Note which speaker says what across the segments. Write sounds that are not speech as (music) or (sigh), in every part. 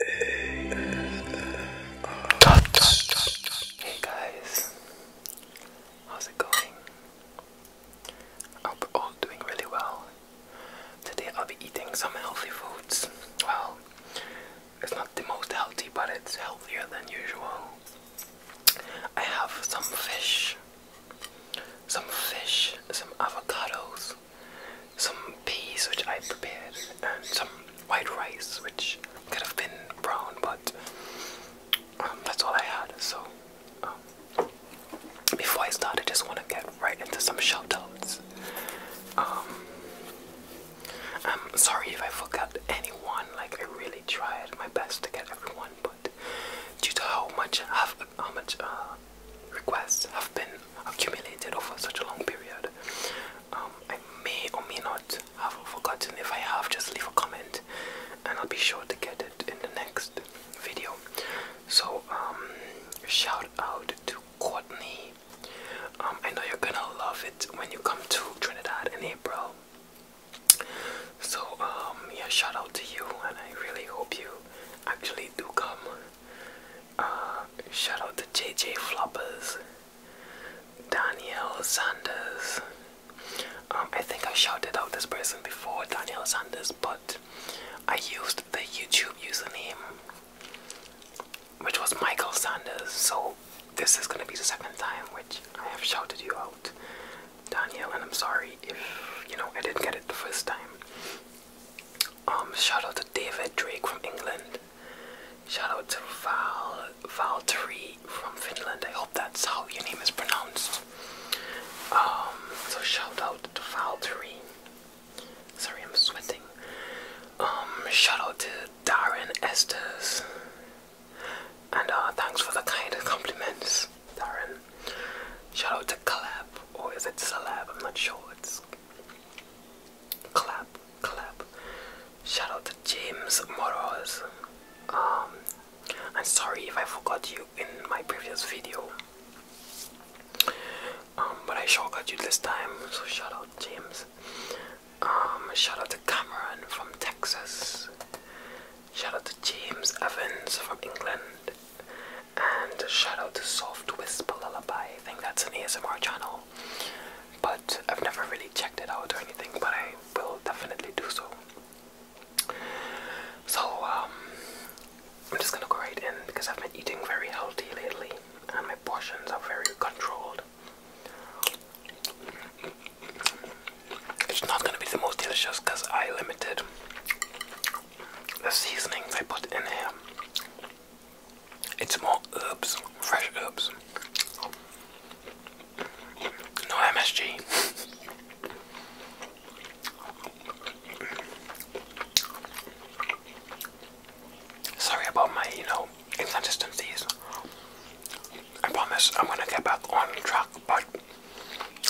Speaker 1: Hey guys, how's it going? I hope we're all doing really well. Today I'll be eating some healthy foods. Well, it's not the most healthy, but it's healthier than usual. I have some fish, some fish, some avocados, some peas which I prepared, and some white rice which could have been brown, but um, that's all I had. So um, before I start, I just want to get right into some shoutouts. Um, I'm sorry if I forgot anyone. Like I really tried my best to get everyone, but due to how much how much uh, requests have been accumulated over such a long period, um, I may or may not have forgotten. If I have, just leave a comment and I'll be sure to get it in the next video. So, um, shout out to Courtney. Um, I know you're gonna love it when you come to Trinidad in April. So, yeah, shout out to you, and I really hope you actually do come shout out to JJ Floppers, Daniel Sanders. Um, I think I shouted out this person before, Daniel Sanders, but I used the YouTube username, which was Michael Sanders. So this is gonna be the second time which I have shouted you out, Daniel, and I'm sorry if you know I didn't get it the first time. Um, shout out to David Drake from England. Shout out to Val Valtteri from Finland. I hope that's how your name is pronounced. Um, so shout out to Valtteri. Sorry, I'm sweating. Um, shout out to Darren Estes. And uh, thanks for the kind compliments, Darren. Shout out to Caleb, or is it Celeb? I'm not sure. It's Clap, clap. Shout out to James Moroz. Um, I'm sorry if I forgot you in my previous video. Um, but I sure got you this time, so shout out James. Um, shout out to Cameron from Texas. Shout out to James Evans from England. And shout out to Soft Whisper Lullaby. I think that's an ASMR channel. But I've never really checked it out or anything, but I will definitely do so. So, um, I'm just gonna go right in because I've been eating very healthy lately and my portions are very controlled. It's not gonna be the most delicious because I limited the seasonings I put in here. It's more herbs, fresh herbs. No MSG. Sorry about my, you know, inconsistencies. I promise I'm gonna get back on track, but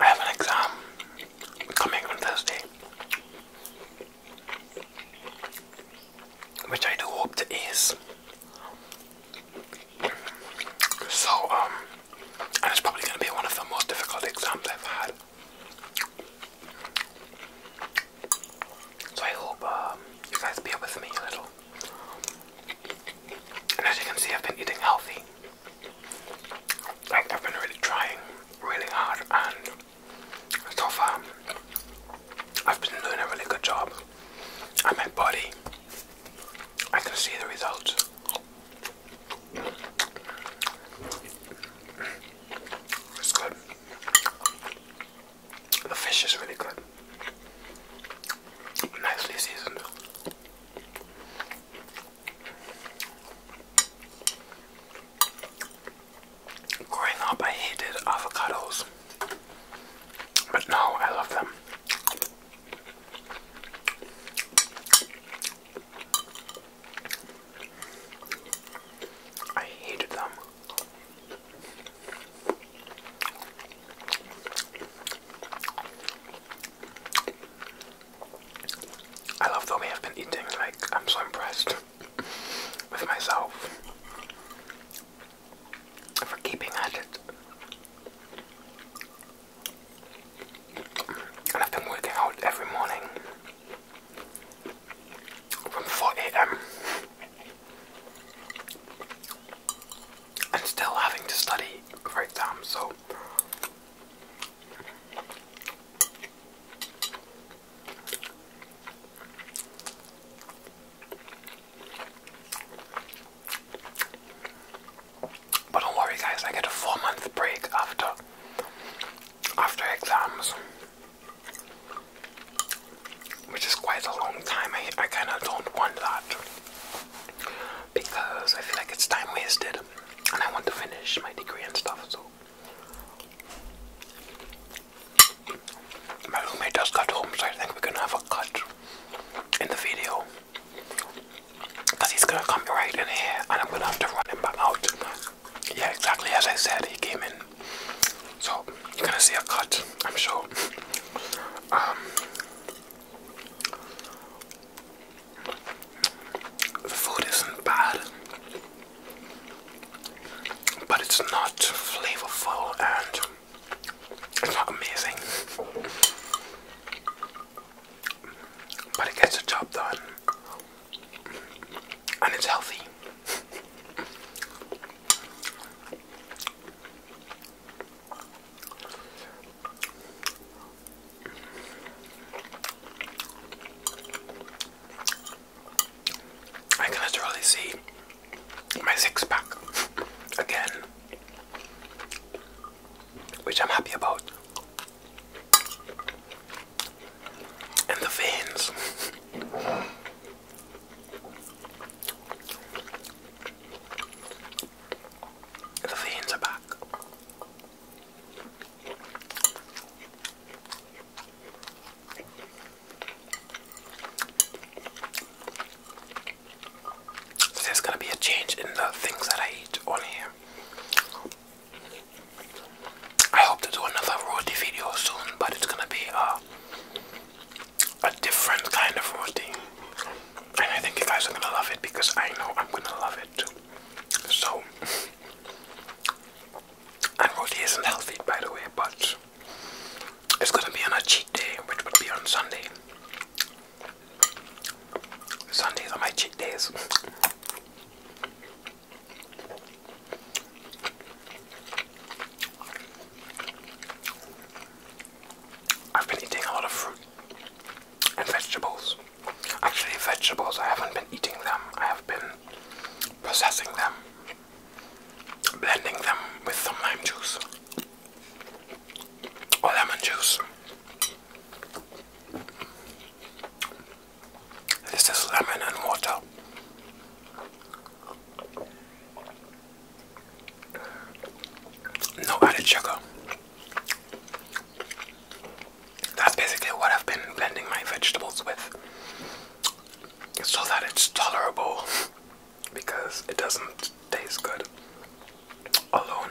Speaker 1: I have an exam coming on Thursday which I do hope to is. So, um, and it's probably going to be one of the most difficult exams I've had. So I hope um, you guys bear with me a little. And as you can see, I've been eating healthy. Like I've been really trying really hard and so far, I've been doing a really good job. And my body, I can see the results. It's good. The fish is really good. Nicely seasoned. Growing up, I hated avocados, but now I love them. I hated them. I love the way I've been eating, like, I'm so impressed with myself for keeping at it. And I've been working out every morning from 4 a.m. and still having to study for so but don't worry guys, I get a four month break after after exams. Which is quite a long time. I, I kind of don't want that because I feel like it's time wasted and I want to finish my degree and stuff. So my roommate just got home, so I think we're gonna have a cut in the video. Because he's gonna come right in here and I'm gonna have to run him out. Yeah, exactly as I said, he came in. So, you're gonna see a cut, I'm sure. Um, the food isn't bad but it's not flavorful and it's not amazing. But it gets the job done and it's healthy. I can literally see my six pack again, which I'm happy about, and the veins. the veins are back there's gonna be a change in the things that I eat on here. I hope to do another roti video soon, but it's gonna be uh, a different kind of roti. And I think you guys are gonna love it because I know I'm gonna love it too. So, (laughs) and roti isn't healthy by the way, but it's gonna be on a cheat day, which would be on Sunday. Sundays are my cheat days. I've been eating a lot of fruit and vegetables. Actually, vegetables, I haven't been eating them, I have been processing them blending them with some lime juice or lemon juice. This is lemon and water. No added sugar. That's basically what I've been blending my vegetables with so that it's tolerable because it doesn't taste good alone.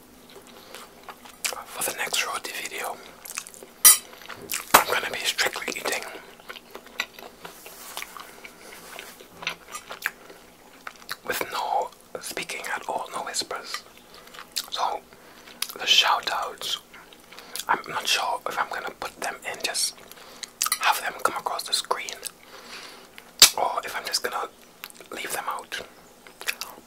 Speaker 1: for the next roti video, I'm going to be strictly eating with no speaking at all, no whispers. So, the shout outs, I'm not sure if I'm going to put them in, just have them come across the screen, or if I'm just going to leave them out.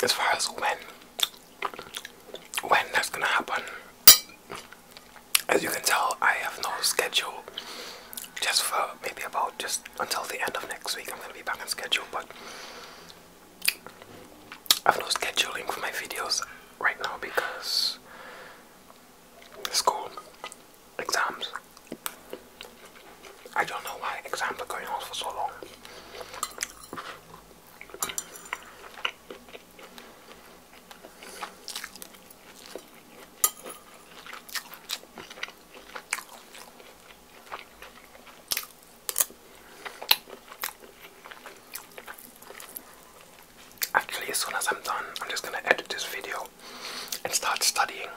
Speaker 1: As far as when when that's gonna happen, as you can tell, I have no schedule. Just for maybe about just until the end of next week, I'm gonna be back on schedule. But I have no scheduling for my videos right now because school exams. I don't know why exams are going on for so long. Actually, as soon as I'm done, I'm just gonna edit this video and start studying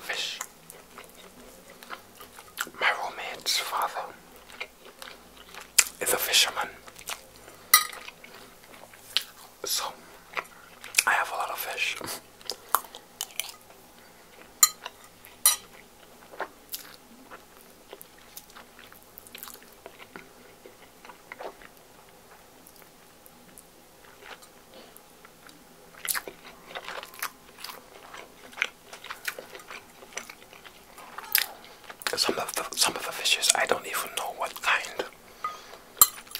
Speaker 1: fish. My romance father is a fisherman, so I have a lot of fish. Some of the some of the fishes I don't even know what kind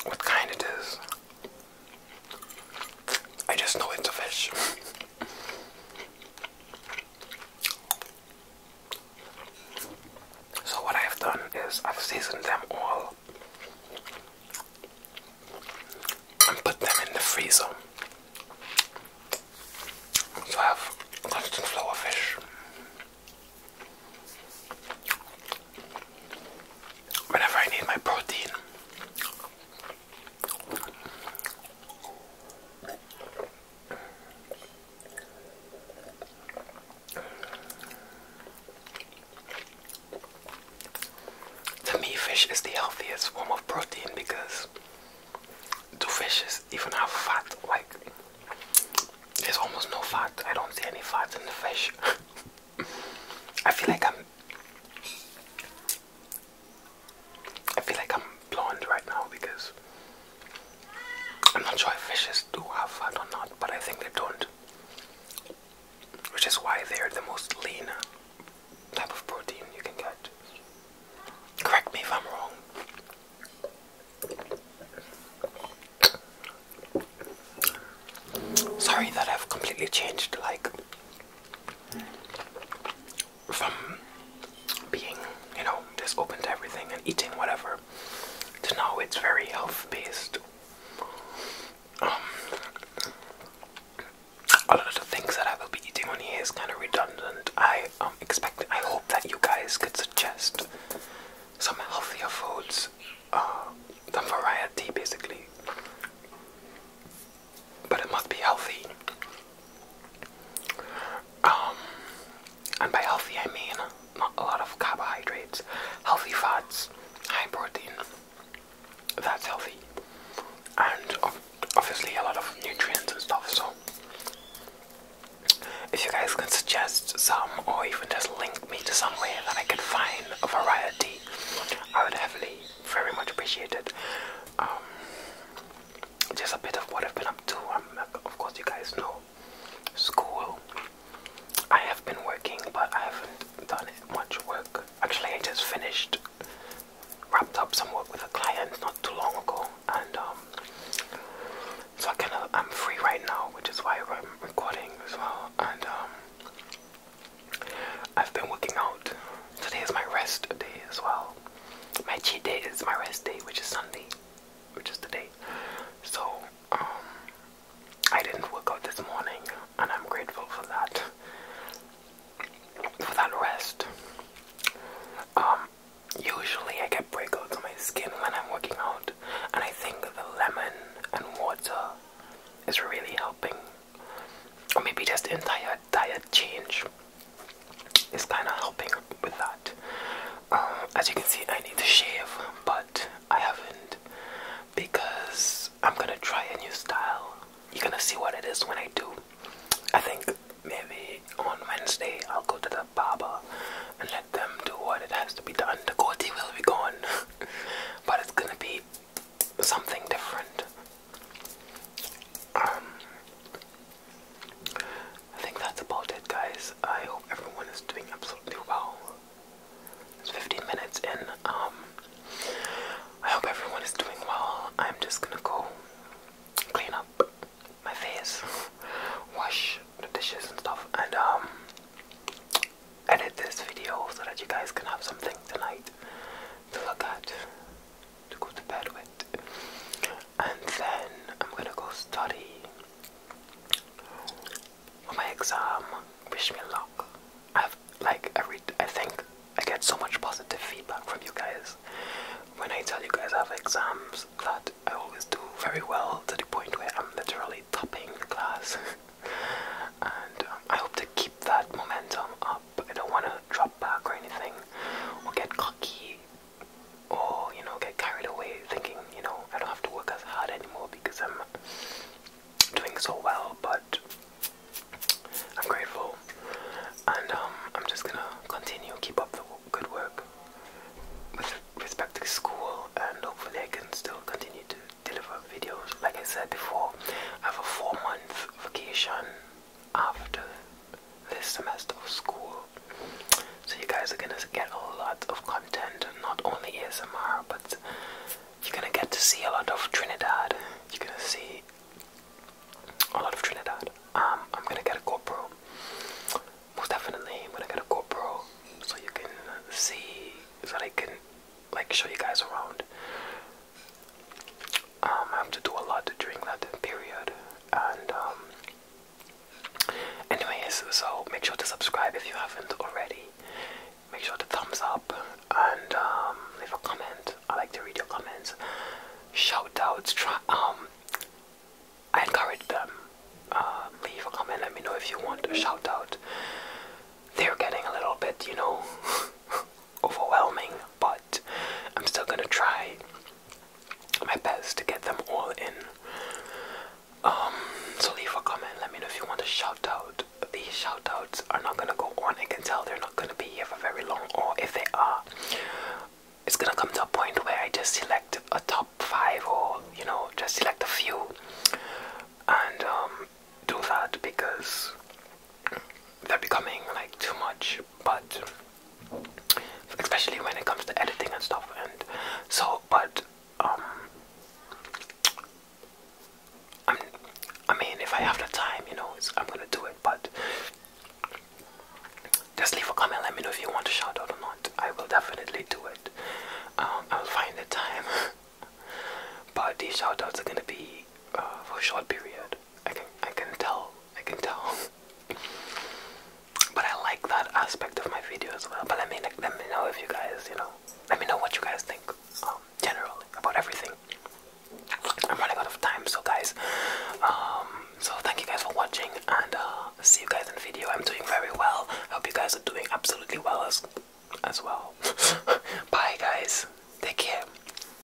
Speaker 1: what kind it is. I just know it's a fish. so, what I've done is I've seasoned them all and put them in the freezer. So, I have constant flow flour fish. Whenever I need my protein, to me, fish is the healthiest form of protein because do fishes even have fat? Like, there's almost no fat. I don't see any fat in the fish. (laughs) I feel like I'm I feel like I'm blonde right now because I'm not sure if fishes do have fat or not, but I think they don't. Which is why they're the most lean type of protein you can get. Correct me if I'm wrong. Sorry that I've completely changed like from being, you know, just open to everything and eating whatever to now it's very health based. Um, a lot of things that I will be eating on here is kind of redundant. I um, expect, I hope that you guys could suggest some healthier foods, uh, variety basically but it must be healthy. Um, and by healthy I mean not a lot of carbohydrates, healthy fats, high protein. That's healthy, and obviously a lot of nutrients and stuff. So, if you guys can suggest some, or even just link me to somewhere that I could find a variety, I would heavily, very much appreciate it. Um, just a bit of what I've been up to. am of course, you guys know school. I have been working, but I haven't done much work. Actually, I just finished, wrapped up some work with a client not too long ago, and um, so I am free right now, which is why I'm recording as well. Um, I've been working out. Today is my rest day as well. My cheat day is my rest day, which is Sunday, which is today. So, um, I didn't work out this morning, and I'm grateful for that. For that rest. Um, usually I get breakouts on my skin when I'm working out, and I think the lemon and water is really helping or maybe just entire diet change is kind of helping with that. Um, as you can see, I need to shave, but I haven't because I'm gonna try a new style. You're gonna see what it is when I do. I think maybe on Wednesday I'll go to the barber and let them do what it has to be done. The goatee will be gone, (laughs) but it's gonna be something different. Um, I think that's about it, guys. I hope everyone is doing absolutely well. It's 15 minutes in. Um, I hope everyone is doing well. I'm just gonna go clean up my face, (laughs) wash the dishes and stuff, and um, edit this video so that you guys can have something tonight to look at to go to bed with. And then I'm gonna go study for my exam. Wish me luck. I've like I I think I get so much positive feedback from you guys when I tell you guys I have exams that I always do very well to the point where I'm literally topping the class. (laughs) and um, I hope to keep that momentum up. I don't wanna drop back or anything or get cocky or you know get carried away thinking you know I don't have to work as hard anymore because I'm doing so well but I'm grateful and um, I'm just gonna continue keep up the good work with respect to school and hopefully I can still continue to deliver videos like I said before I have a four month vacation after this semester of school. So you guys are gonna get a lot of content, not only ASMR, but you're gonna get to see a lot of Trinidad. You're gonna see a lot of Trinidad. Um, I'm gonna get a GoPro. Most definitely, I'm gonna get a GoPro so you can see, so that I can like show you guys around um, I have to do a lot during that period. And um, anyways, so make sure to subscribe if you haven't already. Make sure to thumbs up and um, leave a comment. I like to read your comments. Shout outs. um, I encourage them. Um, leave a comment. Let me know if you want a shout out. They're getting a little bit, you know. (laughs) (laughs) overwhelming, but I'm still gonna try my best to get them all in. Um, so leave a comment, let me know if you want a shout out. These shout outs are not gonna go on, I can tell they're not gonna be here for very long, or if they are, it's gonna come to a point where I just select a top five or you know, just select a few and um, do that because they're becoming like too much, but especially when it comes to editing and stuff. And so, but um, i mean, if I have the time, you know, I'm gonna do it. But just leave a comment. Let me know if you want a shout out or not. I will definitely do it. Um, I'll find the time. (laughs) but these shout outs are gonna be uh, for a short period. I can I can tell I can tell. but I like that aspect of my video as well. But let me let me know if you guys you know let me know what you guys think um, generally about everything. I'm running out of time, so guys. Um, so thank you guys for watching, and uh, see you guys in the video. I'm doing very well. Hope you guys are doing absolutely well as as well. (laughs) Bye, guys. Take care.